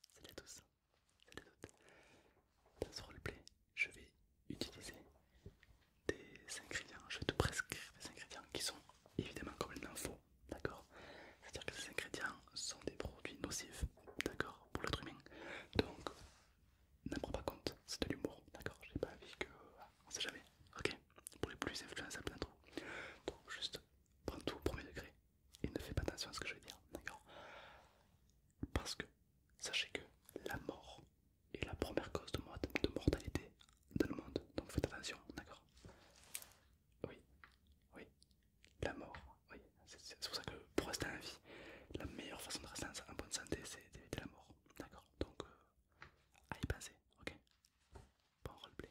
Salut à tous, salut à toutes. Dans ce roleplay, je vais utiliser des ingrédients, je vais te prescrire des ingrédients qui sont évidemment complètement faux, d'accord C'est-à-dire que ces ingrédients sont des produits nocifs, d'accord, pour le humain. Donc, n'en prends pas compte, c'est de l'humour, d'accord J'ai pas envie que. On sait jamais, ok Pour les plus influençables d'entre vous. Donc, juste prends tout au premier degré, et ne fais pas attention à ce que je vais dire, d'accord Parce que sachez que la mort est la première cause de, de mortalité dans le monde, donc faites attention, d'accord Oui, oui, la mort, oui, c'est pour ça que pour rester en vie, la meilleure façon de rester en bonne santé, c'est d'éviter la mort, d'accord Donc, euh, à y penser, ok Bon roleplay.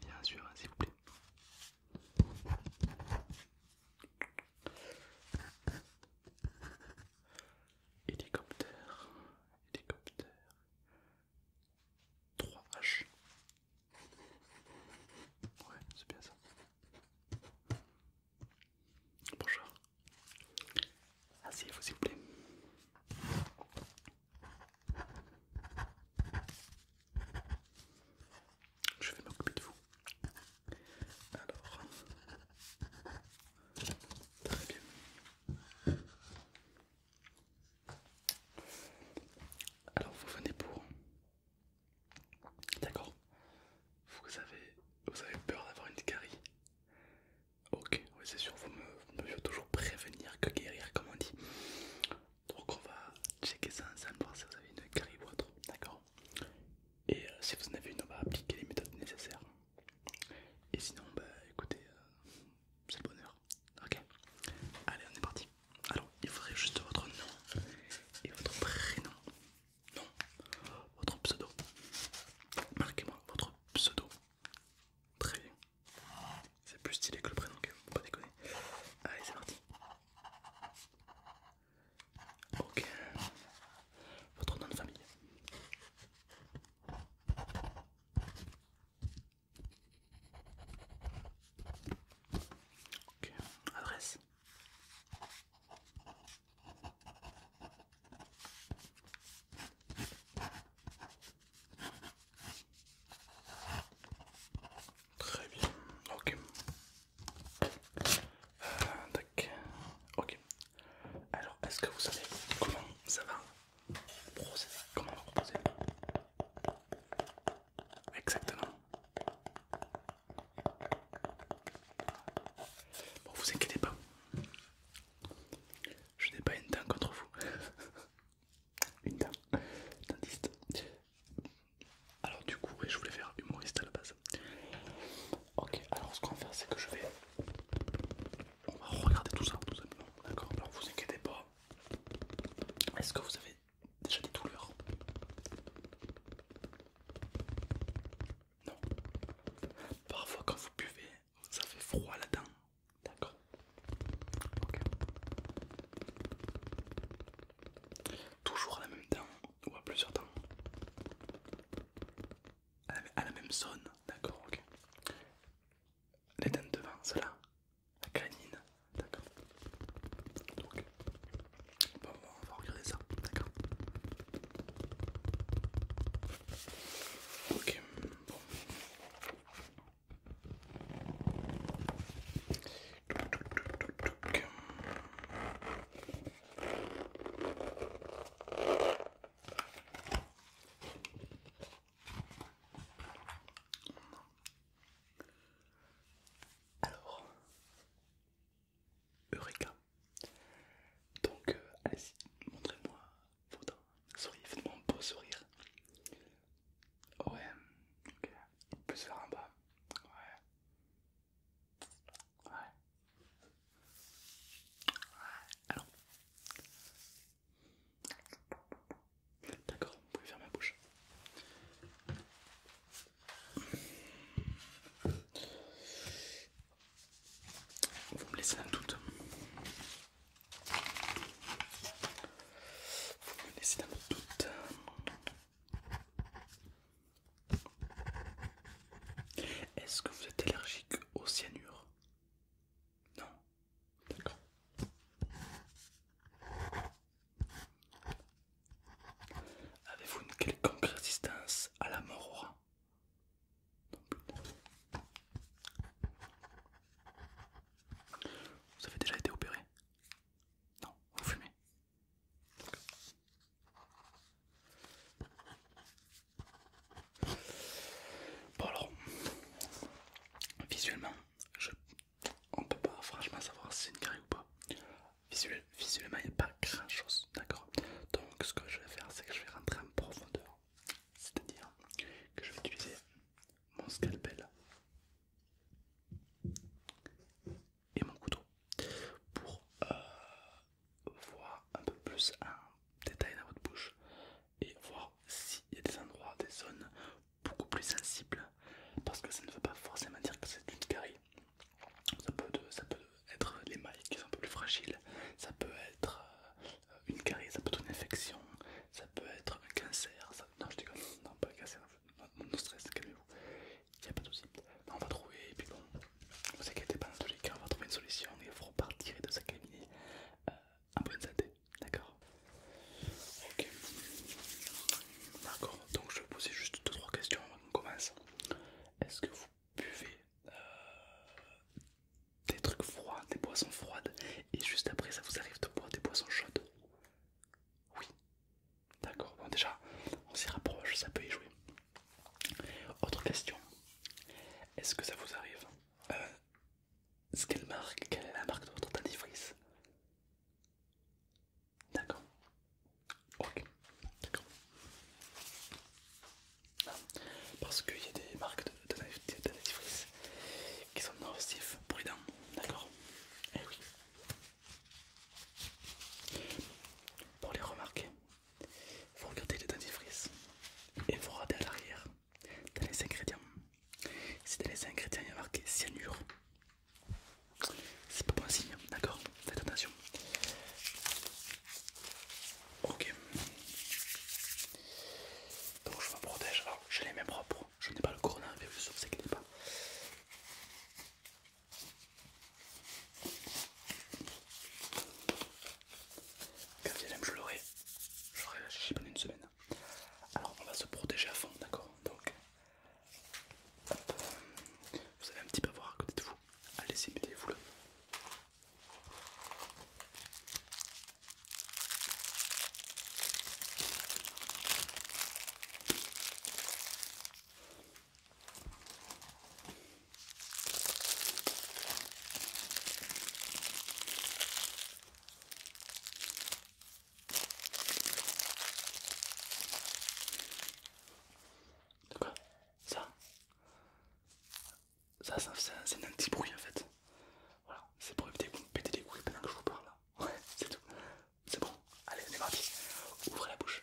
bien sûr, s'il vous plaît. Hélicoptère, hélicoptère, 3H. Ouais, c'est bien ça. Bonjour. Asseyez-vous s'il vous plaît. Je vais m'occuper de vous. Alors, très bien. Alors vous venez pour... D'accord vous avez, vous avez peur d'avoir une carie Ok, oui c'est sûr, vous me, vous toujours prévenir que guérir comme on dit. Donc on va checker ça ensemble, voir si vous avez une carie ou autre, d'accord Et euh, si vous en avez une, on va appliquer les méthodes nécessaires. Et sinon, bah écoutez, euh, c'est le bonheur. Ok Allez, on est parti. Alors, il faudrait juste votre nom et votre prénom. Non, votre pseudo. Marquez-moi votre pseudo. Très bien. C'est plus stylé que le prénom, quand même, pas déconner. Allez, c'est parti. Ok. Votre nom de famille. Ok, adresse. Très bien, ok. Euh, ok. Alors, est-ce que vous savez comment ça va Comment on va Exactement. Bon, vous inquiétez pas. Je n'ai pas une dent contre vous. une dent. Dentiste. Alors du coup, je voulais faire humoriste à la base. Ok, alors ce qu'on va faire, c'est que je vais on va regarder tout ça tout simplement. D'accord Alors vous inquiétez pas. Est-ce que vous avez déjà des douleurs Non. Parfois quand vous buvez, ça fait froid la dent. D'accord. Ok. Toujours à la même dent ou à plusieurs dents à la même zone. D'accord. Ok les dents devant, cela là la canine, d'accord Donc, bon, on va regarder ça, d'accord Ok, bon. Alors, Eureka. Donc, euh, allez-y, montrez-moi dents. sourire, faites-moi un beau sourire. Ouais, ok. On peut se faire un bas. Ouais. Ouais. Ouais. Alors, D'accord, vous pouvez faire ma bouche. Vous me laissez un doute. Vous me laissez un doute. Est-ce que vous êtes allergique au cyanure Non, D'accord. Avez-vous une quelconque résistance à la mort Vous avez déjà été opéré Non, vous fumez. Bon alors, visuellement, on on peut pas franchement savoir si c'est une carie ou pas. visuellement, il n'y a pas grand chose, d'accord Donc ce que je vais faire, c'est que je vais rentrer en profondeur. C'est-à-dire que je vais utiliser mon scalpel et mon couteau pour euh, voir un peu plus en détail dans votre bouche et voir s'il y a des endroits, des zones beaucoup plus sensibles parce que ça ne veut pas forcément dire que c'est une carie. Ça peut, être les mailles qui sont un peu plus fragiles, ça peut être euh, une carie, ça peut être une infection, ça peut être un cancer. Non, je déconne, non, pas un cancer, non, stress, calmez-vous, il n'y a pas de souci. On va trouver, et puis bon, vous inquiétez pas, dans tous les cas, on va trouver une solution il faut repartir de sa cabinet. Euh, en ah, bonne santé, d'accord Ok, d'accord, donc je vais poser juste 2-3 questions avant qu'on commence. Est-ce que vous buvez euh, des trucs froids, des boissons froides, et juste après ça vous arrive de boire des boissons chaudes Oui, d'accord, bon déjà on s'y rapproche, ça peut y jouer. Autre question, est-ce que ça vous arrive euh, ce qu'elle marque, quelle est la marque de votre dentifrice. D'accord. Ok. D'accord. Ah, parce qu'il y a des marques de, dentifrice qui sont novatifs, pour D'accord. Eh oui. Pour les remarquer, vous regardez les dentifrices et vous regardez à l'arrière dans les ingrédients. Si dans les ingrédients il y a marqué cyanure, c'est pas bon signe, d'accord Faites attention. Ok. Donc je me protège. Alors j'ai les mains propres. Je n'ai pas le coronavirus, vous inquiétez pas. Quand même je l'aurai, j'y pas une semaine. Alors on va se protéger à fond, d'accord Donc, vous avez un petit voir à côté de vous. Allez-y, mettez-vous le de quoi Ça Ça, ça, c'est un petit bruit en fait. Voilà, c'est pour éviter de vous me pétez les couilles pendant que je vous parle. Ouais, c'est tout. C'est bon. Allez, on est parti. Ouvrez la bouche.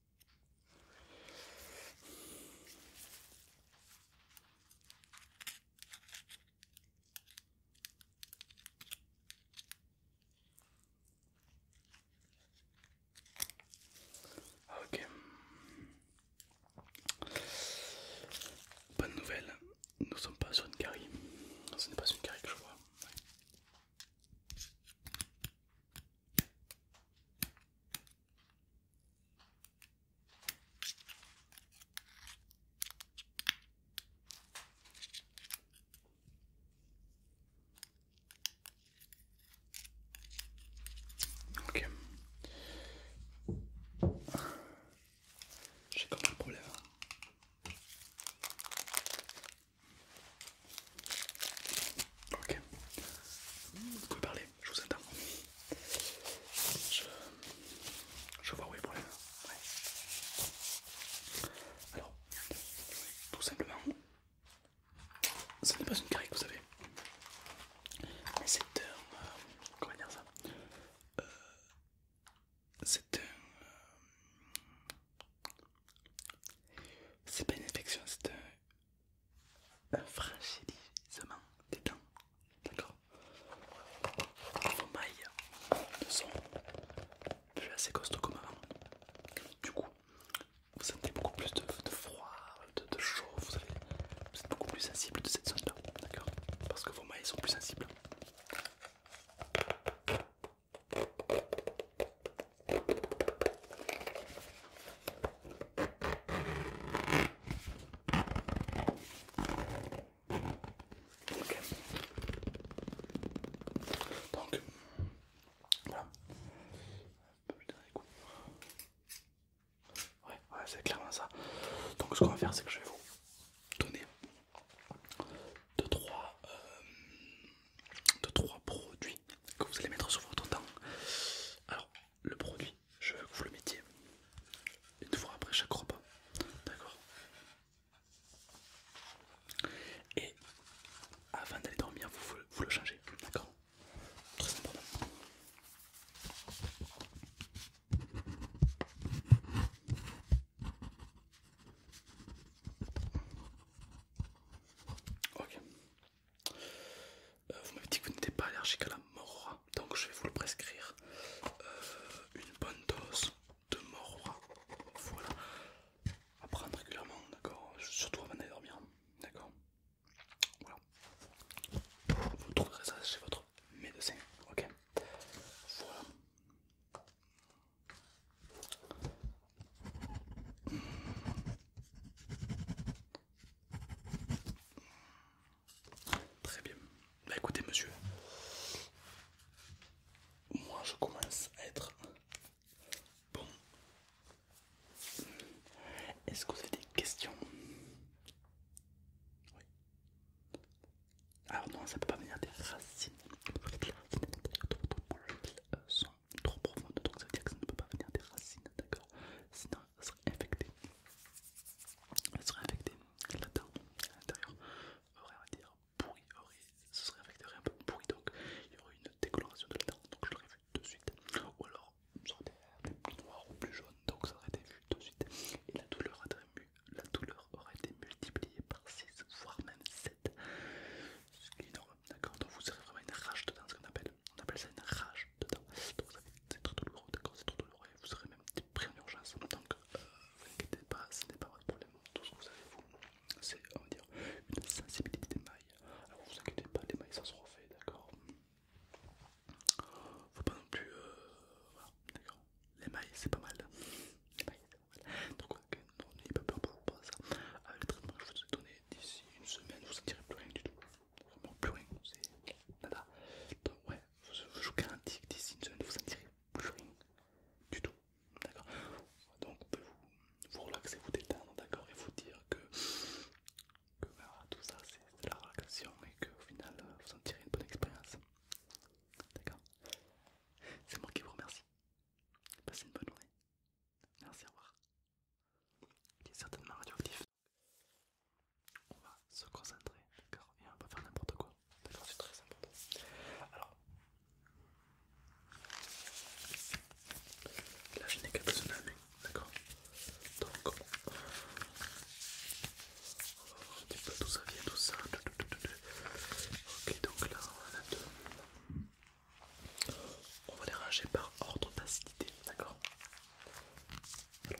Ok. Bonne nouvelle, nous sommes pas sur une carie. Ce n'est pas une carie que je vois. Ok, j'ai quand même un problème. Ok, parler je vous attends. Je, je vois où est le problème. Alors, tout simplement, ce n'est pas une carie, que vous avez. Mais c'est un... Euh, comment dire ça euh, C'est un... Euh, c'est pas une infection, c'est un un fragilisement des dents, d'accord Vos mailles ne sont plus assez costauds comme avant. Du coup, vous sentez beaucoup plus de, froid, de, chaud, vous, êtes beaucoup plus sensible de cette zone-là, d'accord Parce que vos mailles sont plus sensibles. Ok. Donc, voilà. Putain, écoute. Ouais, ouais, c'est clairement ça. Donc, ce qu'on va faire, c'est que je vais vous donner 2-3 trois, euh, trois produits que vous allez mettre sur votre temps Alors, le produit, je veux que vous le mettiez une fois après chaque repas, d'accord Et avant d'aller dormir, vous, vous le changez, d'accord Très important. Ok, euh, vous m'avez dit que vous n'étiez pas allergique à la morora, donc je vais vous le prescrire. Euh, une bonne dose de morra voilà, à prendre régulièrement, d'accord Surtout avant d'aller dormir, d'accord Vous trouverez ça chez votre médecin, ok Voilà. Très bien. Bah écoutez monsieur, moi je commence à être bon. Est-ce que vous avez des questions Oui. Alors non, ça peut pas venir des racines trop profonde, donc ça veut dire que ça ne peut pas venir des racines, d'accord Sinon, ça serait infecté. Ça serait infecté à l'intérieur, aurait, on va dire, pourri, aurait, ce serait infecté, aurait un peu pourri, donc il y aurait une décoloration de la dent, donc je l'aurais vu tout de suite. Ou alors, ça aurait été plus noir ou plus jaune, donc ça aurait été vu tout de suite. Et la douleur aurait, la douleur été multipliée par 6, voire même 7. Ce qui est énorme, d'accord Donc vous aurez vraiment une rage dedans, ce qu'on appelle. On appelle ça une rage c'est très douloureux, d'accord, c'est trop douloureux et vous serez même pris en urgence. en Donc que euh, vous inquiétez pas, ce n'est pas votre problème. Tout ce que vous avez vous, c'est on va dire une sensibilité des mailles. Alors vous inquiétez pas, les mailles ça se refait, d'accord. Faut pas non plus euh, voilà, d'accord. Les mailles c'est pas mal. Les mailles c'est pas mal. Donc n'ayez pas peur pour vous ça. Avec euh, le traitement je vous ai donné d'ici une semaine, vous ne sentirez plus rien du tout vraiment plus rien, c'est nada. Donc, ouais, je, vous garantis que d'ici une semaine vous sentirez plus rien du tout, d'accord Donc, vous pouvez vous, relaxer, vous détendre, d'accord Et vous dire que, que bah, tout ça c'est de la relaxation et que au final vous en sentirez une bonne expérience, d'accord C'est moi qui vous remercie. Passez une bonne journée. Merci, au revoir qui est certainement radioactif. On va se concentrer et on va faire n'importe quoi. c'est très important. Alors, là je n'ai qu'à besoin de la d'accord Donc, on va voir un ça vient, tout ça. Ok, donc là on en a deux. On va les ranger par ordre d'acidité, d'accord euh,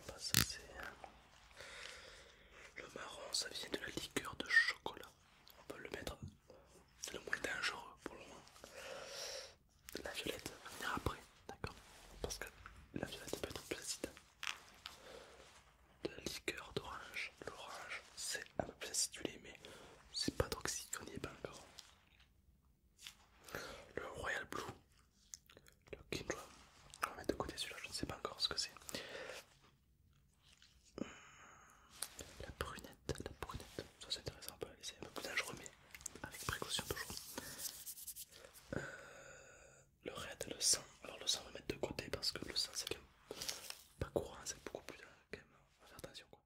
Le marron, ça vient de la liqueur de chocolat. On peut le mettre, c'est le moins dangereux pour le moment. La violette va venir après, d'accord Parce que la violette peut être plus acide. La liqueur d'orange, l'orange c'est un peu plus acidulé, mais c'est pas toxique, on n'y est pas encore. Le Royal Blue, le blue, On va mettre de côté celui-là, je ne sais pas encore ce que c'est. La brunette, la brunette, ça c'est intéressant, on peut la laisser un peu plus je remets avec précaution toujours. Euh, le red, le sang, alors le sang on va mettre de côté parce que le sang c'est pas courant, c'est beaucoup plus. Euh, quand même. On va faire attention quoi.